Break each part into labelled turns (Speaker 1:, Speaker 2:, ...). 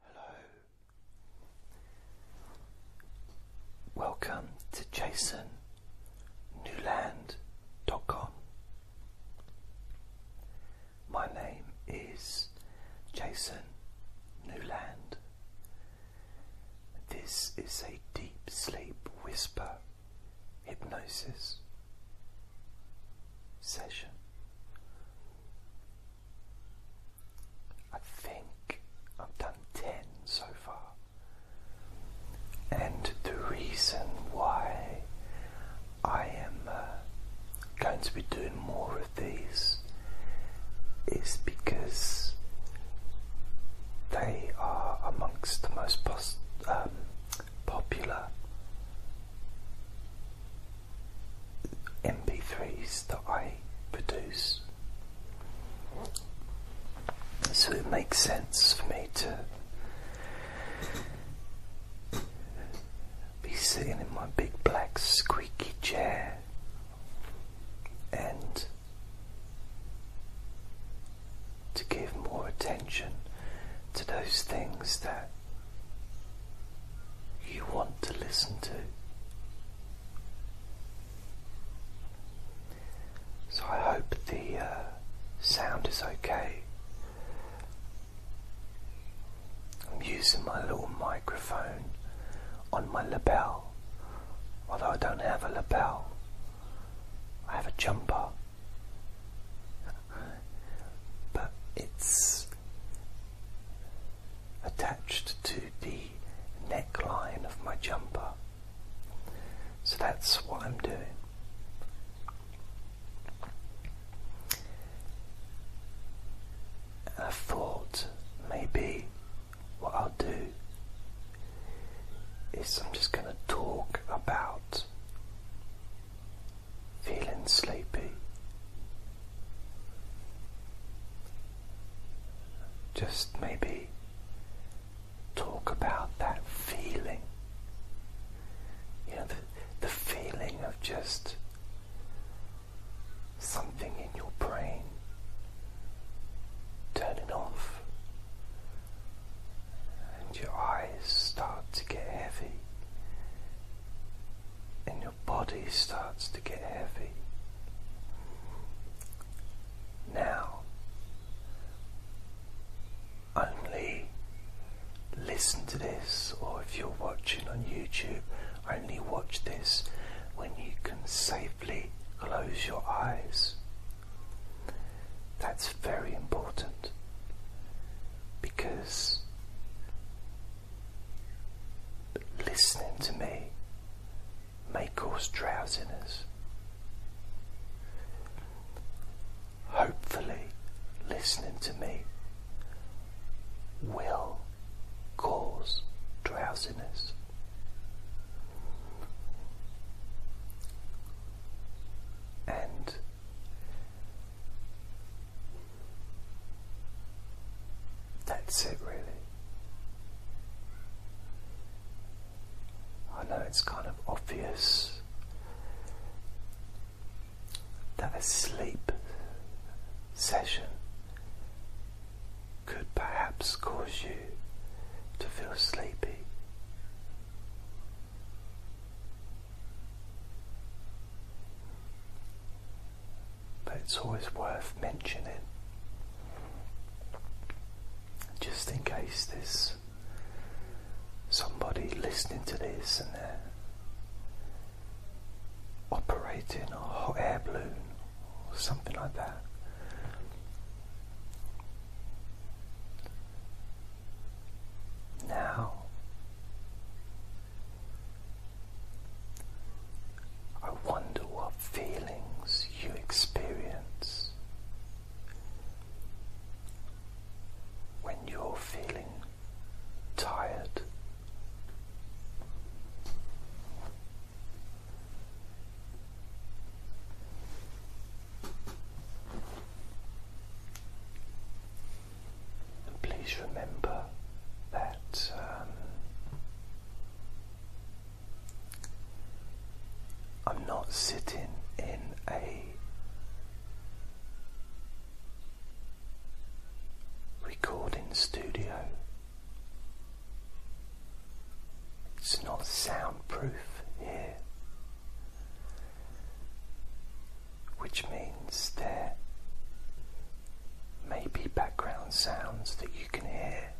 Speaker 1: Hello. Welcome to jasonnewland.com. My name is Jason Newland. This is a deep sleep whisper hypnosis session I think I've done 10 so far. And the reason why I am uh, going to be doing more of these is because they are amongst the most um, popular MP3s that I produce. So it makes sense for me to be sitting in my big black squeaky chair and to give more attention to those things that you want to listen to. So I hope the uh, sound is okay. I'm using my little microphone on my lapel, although I don't have a lapel, I have a jumper. But it's attached to the neckline of my jumper. So that's what I'm doing. And I thought maybe what I'll do is I'm just going to talk about feeling sleepy. Just maybe talk about that feeling. You know, the, feeling of just something in your brain turning off and your eyes start to get heavy your body starts to get heavy. Now, only listen to this, or if you're watching on YouTube, only watch this when you can safely close your eyes. That's very important because but listening to me may cause drowsiness. Hopefully, listening to me will cause drowsiness. And that's it, really. I know it's kind of obvious that a sleep session could perhaps cause you to feel sleepy but it's always worth mentioning just in case there's somebody listening to this and they're operating a hot air balloon or something like that. Now I wonder what feelings you experience when you're feeling tired. And please remember that um, I'm not sitting in a recording studio. It's not soundproof here, which means there maybe background sounds that you can hear.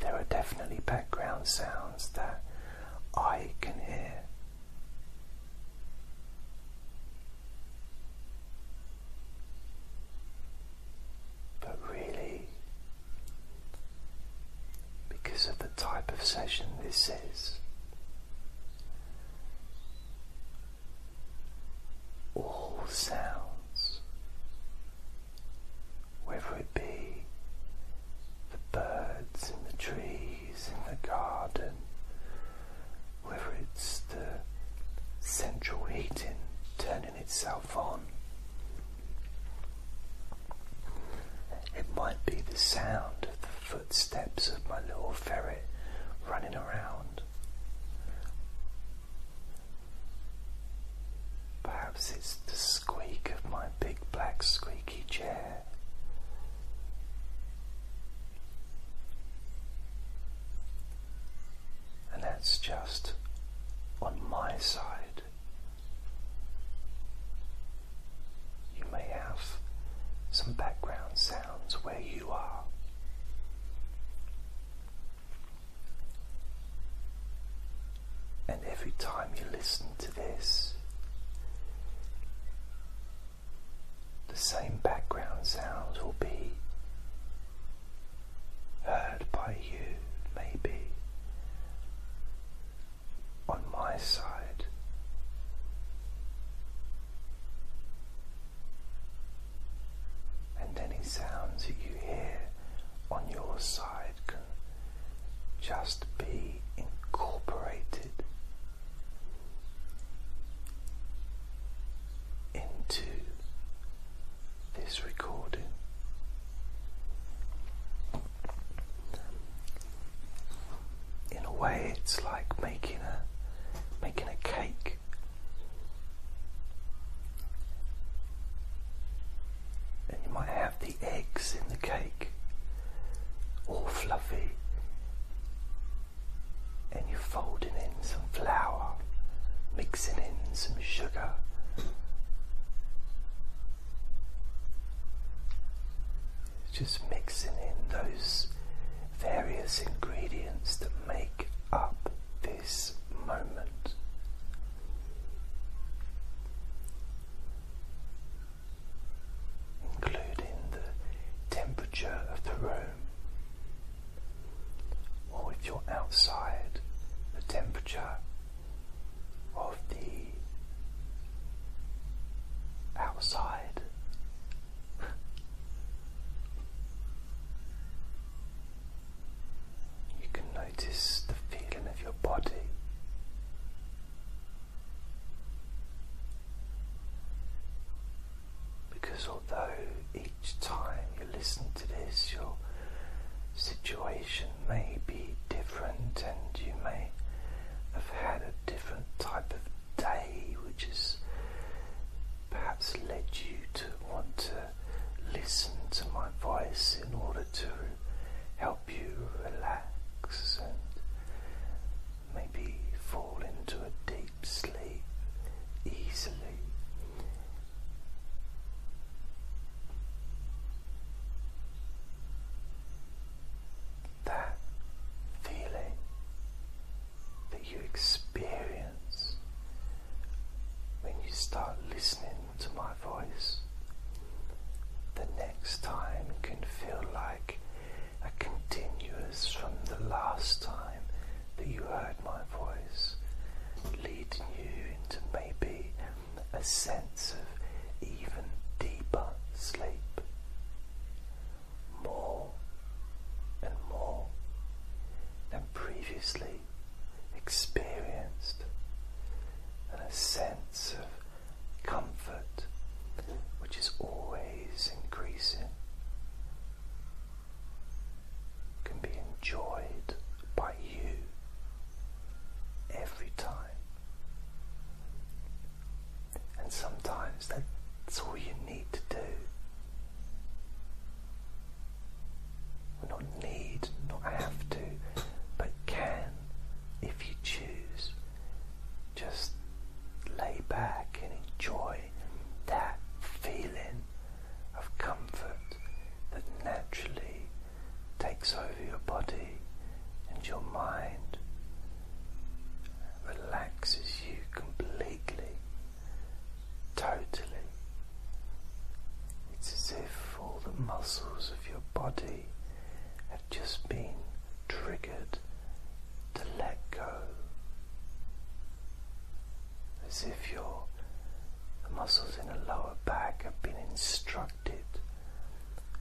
Speaker 1: There are definitely background sounds that I can hear. But really, because of the type of session this is, all sounds, whether it be the birds in the trees, in the garden, whether it's the central heating turning itself on. It might be the sound of the footsteps of my little ferret running around. Perhaps it's the squeak of my big black squeaky chair. And that's just on my side. You may have some background sound where you are. And every time you listen to this, the same background sounds will be heard by you, maybe on my side and any sounds that you hear on your side can just be incorporated into this recording in a way it's like making a making a cake and you might have the eggs in the cake all fluffy and you're folding in some flour mixing in some sugar just mixing in those various ingredients that make up this moment. Including the temperature of the room, or if you're outside, the temperature of the outside you can notice the feeling of your body. Because although each time you listen to this, your situation may be different and you may have had a different type of day which has perhaps led you to want to listen to my voice in order to help you relax and maybe fall into a deep sleep easily. That feeling that you experience when you start listening to my voice. The next time can feel like a continuous from the last time that you heard my voice, leading you into maybe a sense of even deeper sleep more and more than previously experienced, and a sense of comfort which is always increasing can be enjoyed by you every time. And sometimes that's all you need to do not need, not have to, but can, if you choose, just lay back and enjoy that feeling of comfort that naturally takes over your body and your mind, relaxes you completely totally. It's as if all the muscles of your body have just been triggered to let go. As if your muscles in the lower back have been instructed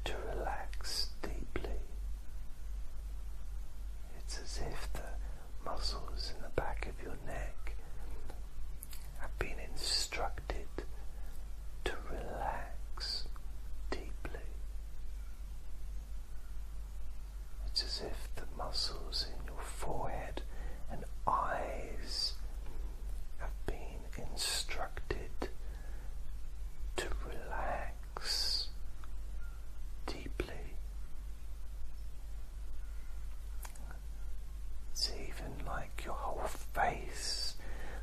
Speaker 1: to relax deeply. It's as if the muscles in the back of your neck have been instructed to relax deeply. It's as if the muscles in your forehead and eyes have been instructed to relax deeply. It's even like your whole face,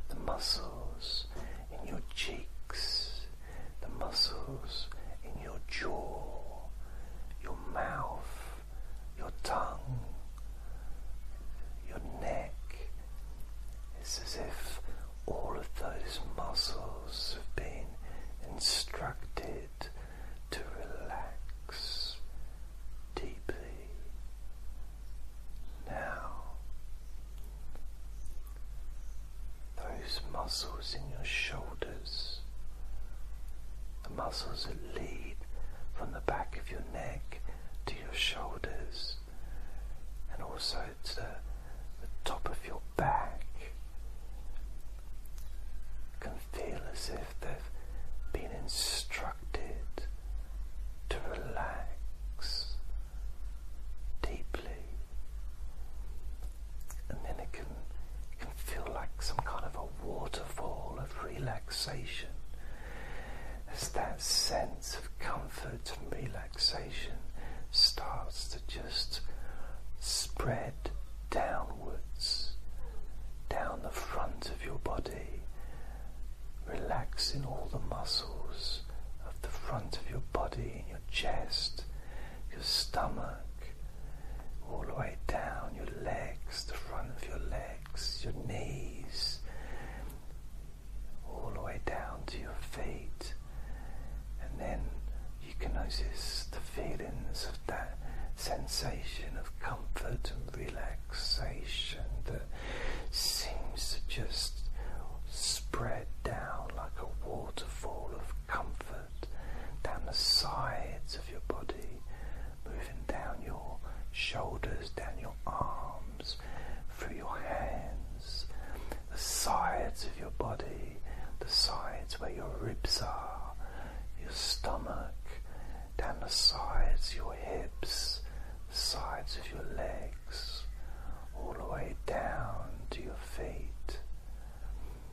Speaker 1: the muscles in your cheeks, the muscles in your jaw, your mouth, your tongue, your neck. It's as if all of those muscles have been instructed to relax deeply now. Those muscles in your shoulders, the muscles that lead from the back of your neck to your shoulders, and also to the top of your back can feel as if they've been instructed to relax deeply. And then it can, it can feel like some kind of a waterfall of relaxation. As that sense of comfort and relaxation starts to just spread downwards, down the front of your body, relaxing all the muscles of the front of your body in your chest, your stomach, all the way down your legs, the front of your legs, your knees, all the way down to your feet and then you can notice the feelings of that sensation of comfort and relaxation that seems to just spread down like a waterfall of comfort down the sides of your body, moving down your shoulders, down your arms, through your hands, the sides of your body, the sides where your ribs are, your stomach, down the sides, your hips, sides of your legs, all the way down to your feet.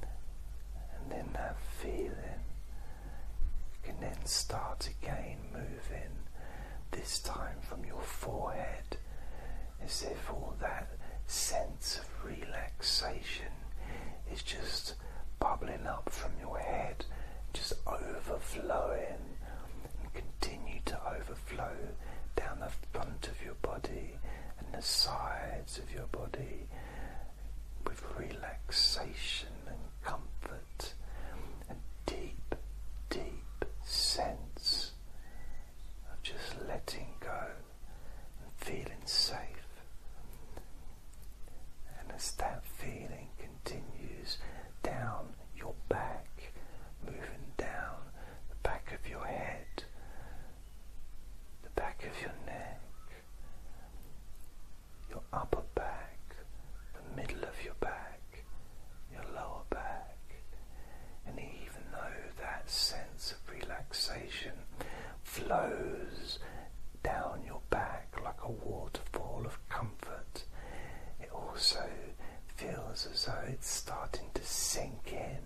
Speaker 1: And then that feeling can then start again moving, this time from your forehead, as if all that sense of relaxation is just bubbling up from your head, just overflowing, and continue to overflow down the front of your body and the sides of your body with relaxation and comfort and deep, deep sense of just letting go and feeling safe. And as that feeling continues down your back, moving down the back of your head, the back of your neck, your upper back, the middle of your back, your lower back, and even though that of relaxation flows down your back like a waterfall of comfort. It also feels as though it's starting to sink in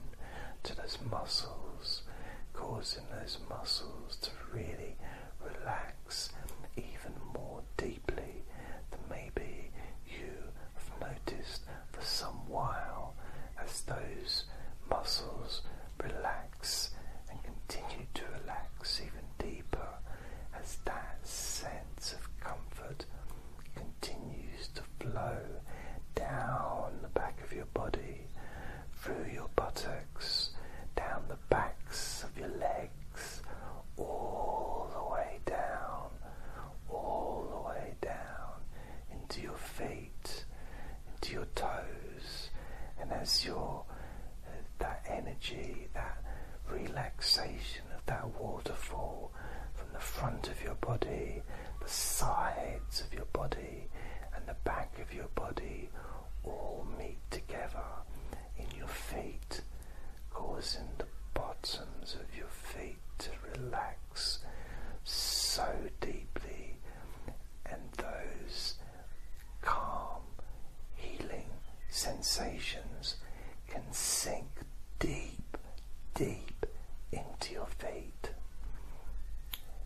Speaker 1: to those muscles, causing those muscles to really relax even more deeply than maybe you have noticed for some while as those muscles relax and continue to relax even deeper as that sense of comfort continues to flow down the back of your body, through your buttocks, down the backs of your legs, all the way down, all the way down into your feet, into your toes, and as your uh, that energy, that relaxation of that waterfall from the front of your body, the sides of your body, and the back of your body all meet together in your feet, causing the bottoms of your feet to relax so deeply and those calm, healing sensations can sink deep, deep into your feet,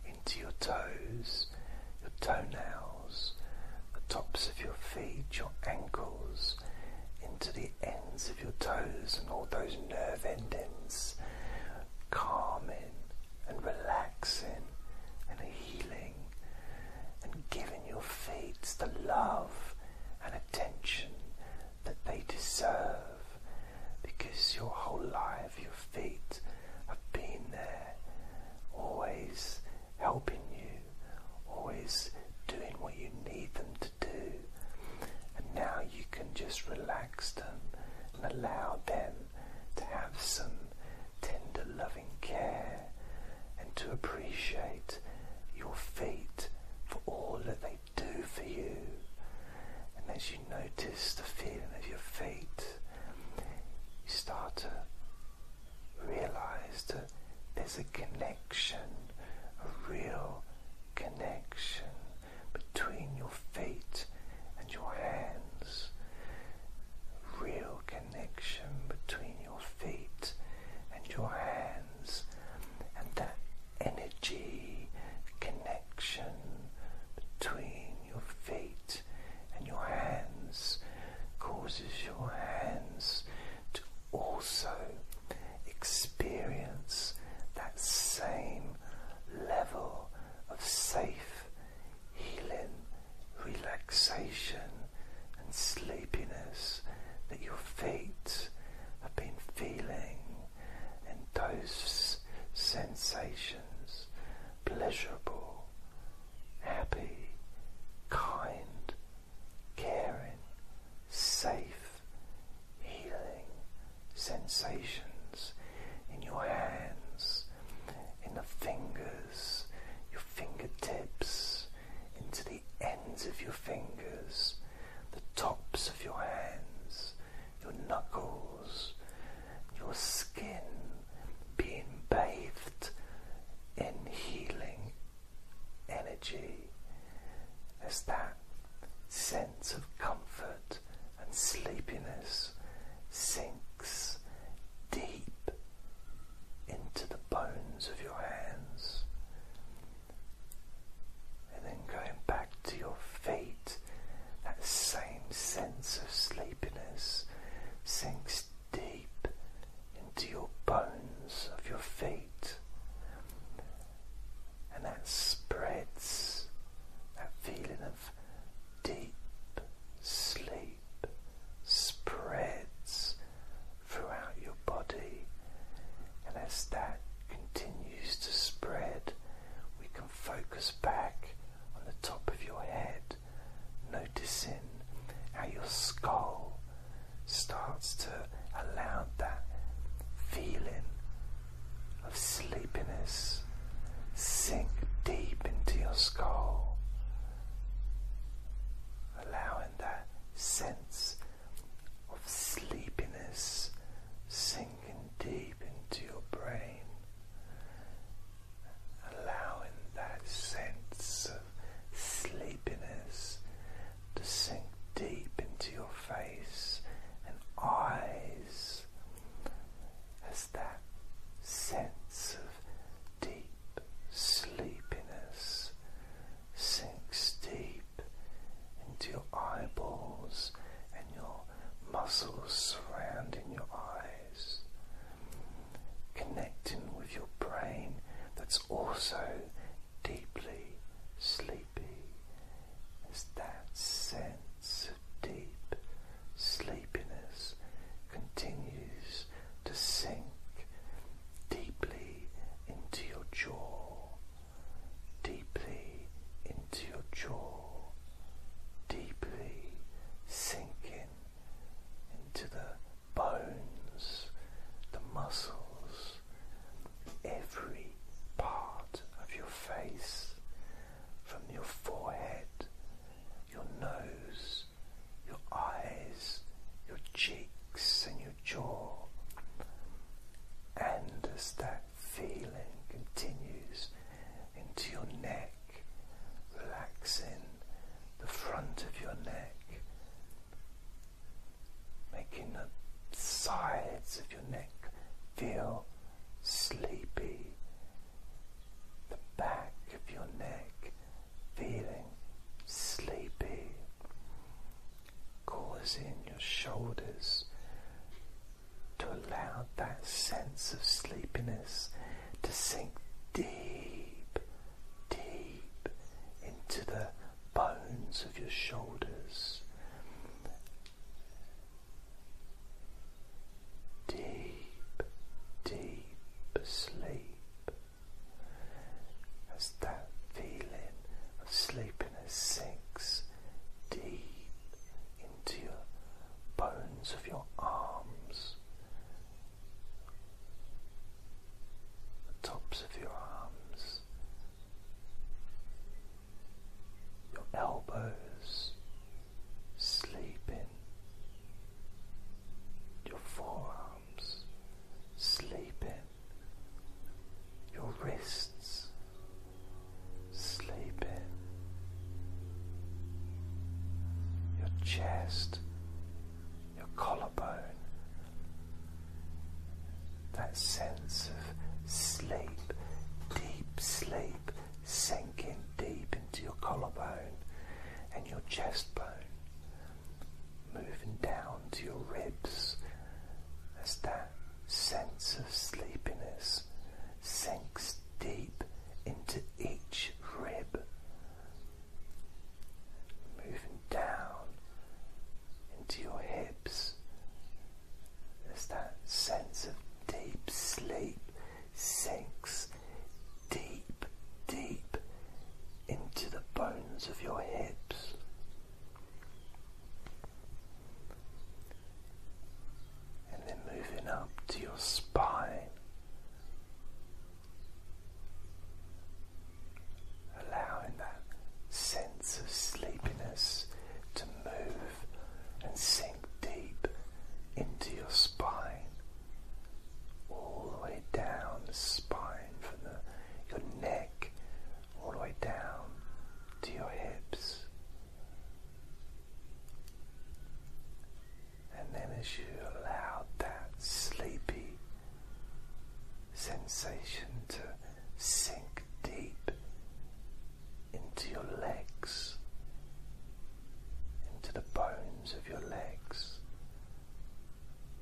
Speaker 1: into your toes, your toenails, the tops of your feet, your ankles, into the ends of your toes and all those nerve endings, calming, and relaxing and healing and giving your feet the love and attention that they deserve because your whole life your feet have been there always helping you always doing what you need them to do and now you can just relax them and allow them to have some tender, loving care and to appreciate your feet for all that they do for you. And as you notice the feeling of your feet, you start to realize that there's a connection, a real connection between your feet and your hands. Real connection between your feet and your hands, and that energy connection between your feet and your hands causes your hands to also experience that same level of safe healing, relaxation, and sleepiness that your feet have been feeling, and those sensations pleasurable, happy, kind, caring, safe, healing, sensations in your hands, in the fingers, your fingertips, into the ends of your fingers, the tops of your hands, your knuckles, your skin being bathed in healing energy. As that sense of comfort and sleepiness sinks deep into the bones of your hands. And then going back to your feet, that same sense of sleepiness sinks deep into your bones of your feet. And that spreads, that feeling of deep sleep spreads throughout your body, and as that continues to spread, we can focus back on the top of your head, noticing how your skull starts to allow that feeling of sleepiness sink deep into your skull, allowing that sense of sleepiness sinking deep into your brain, allowing that sense of sleepiness to sink deep into your face and eyes as that sense of deep sleepiness sinks deep into your eyeballs and your muscles surrounding your eyes, connecting with your brain that's also deeply sleepy. Is that sense deep sleepiness continues to sink deeply into your jaw, deeply into your jaw, deeply sinking into the bones, the muscles, every part of your face, from your forehead your nose, your eyes, your cheeks, and your jaw. And as that feeling continues into your neck, relaxing the front of your neck, making the sides of your neck feel sleepy the back of your neck feeling sleepy, causing your shoulders to allow that sense of sleepiness to sink deep, deep into the bones of your shoulders deep, deep sleep as that feeling of sleepiness sinks deep into your bones of your arms, the tops of your arms, your elbows, sleeping, your forearms, sleeping, your wrists, sleeping, your chest, your collarbone. That sense of sleep, deep sleep, sinking deep into your collarbone and your chestbone, moving down to your ribs as that sense of sleepiness sinks deep into each rib, moving down into your hips as that sense of deep sleep sinks deep, deep into the bones of your hips. And then moving up to your spine, allowing that sense of sleepiness to move and sink deep into your spine, all the way down the spine from your neck all the way down to your hips. And then, as you allow that sleepy sensation to sink deep into your legs into the bones of your legs,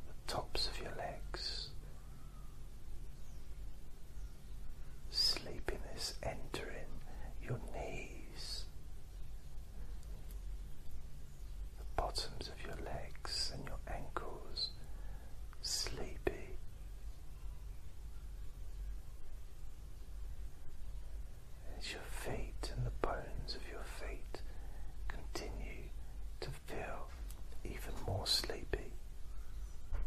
Speaker 1: the tops of your legs. Sleepiness entering your knees, the bottoms of your legs and your ankles, sleepy as your feet and the bones of your feet continue to feel even more sleepy.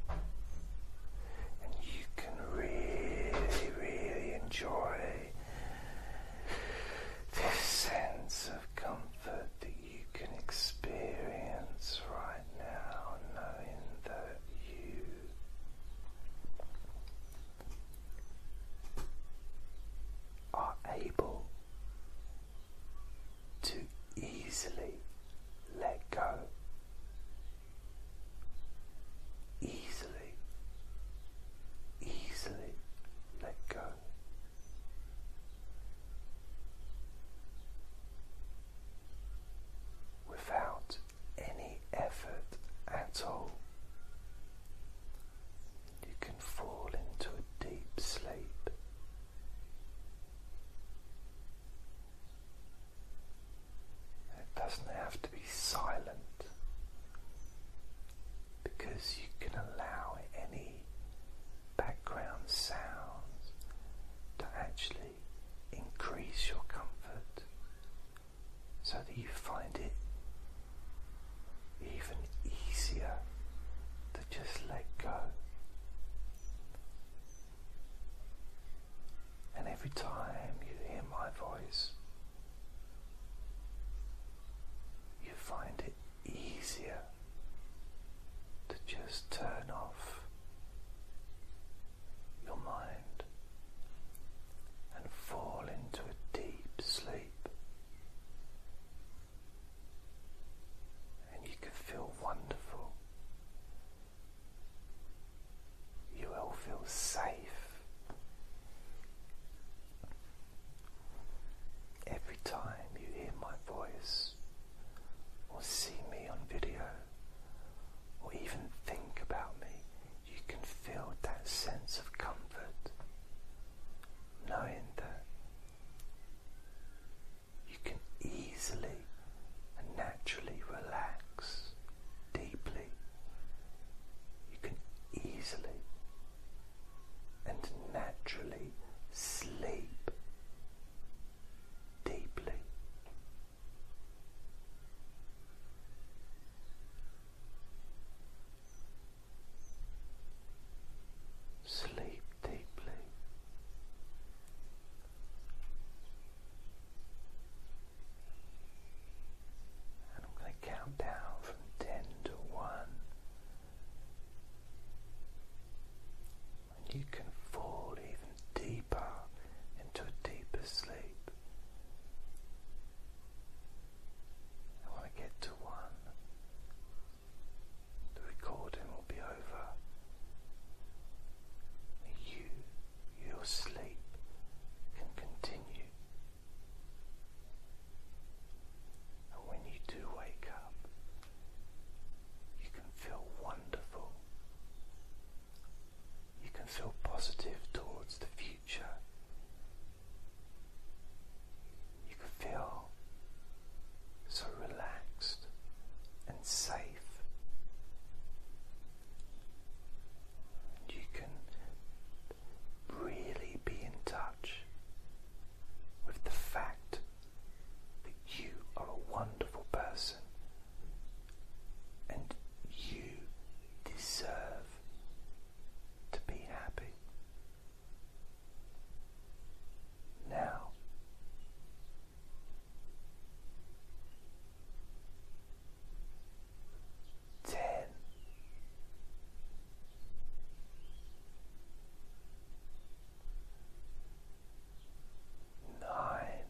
Speaker 1: And you can really, really enjoy this sense of comfort that you can experience right now, knowing that you are able to easily let go, easily, easily let go. Without any effort at all, you can fall into a deep sleep. It doesn't have to be silent because you can allow any background sounds to actually increase your comfort so that you find it even easier to just let go. And every time you hear my voice, you find it easier to just turn off your mind and fall into a deep sleep. And you can feel wonderful. You will feel safe. Every time you hear my voice or see me on video or even think about me, you can feel that sense of comfort, knowing that you can easily and naturally relax deeply. You can easily and naturally sleep deeply. Sleep deeply. And I'm going to count down from 10 to 1. you can fall even deeper into a deeper sleep. And when I get to one, the recording will be over. You, your sleep, can continue. And when you do wake up, you can feel wonderful, you can feel positive towards the future. You can feel so relaxed and safe. You can really be in touch with the fact that you are a wonderful person and you deserve to be happy. Now, ten. Nine,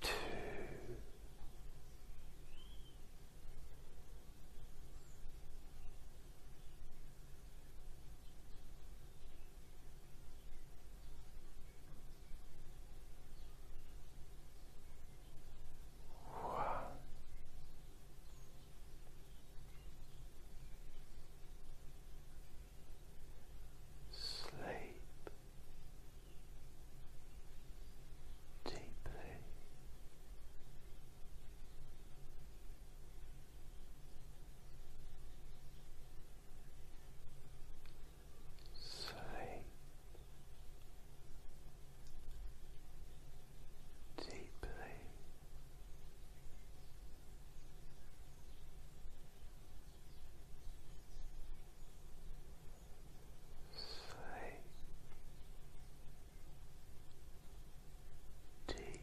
Speaker 1: two, one. Sleep deeply. Sleep deeply. Sleep deeply. Sleep. Deeply.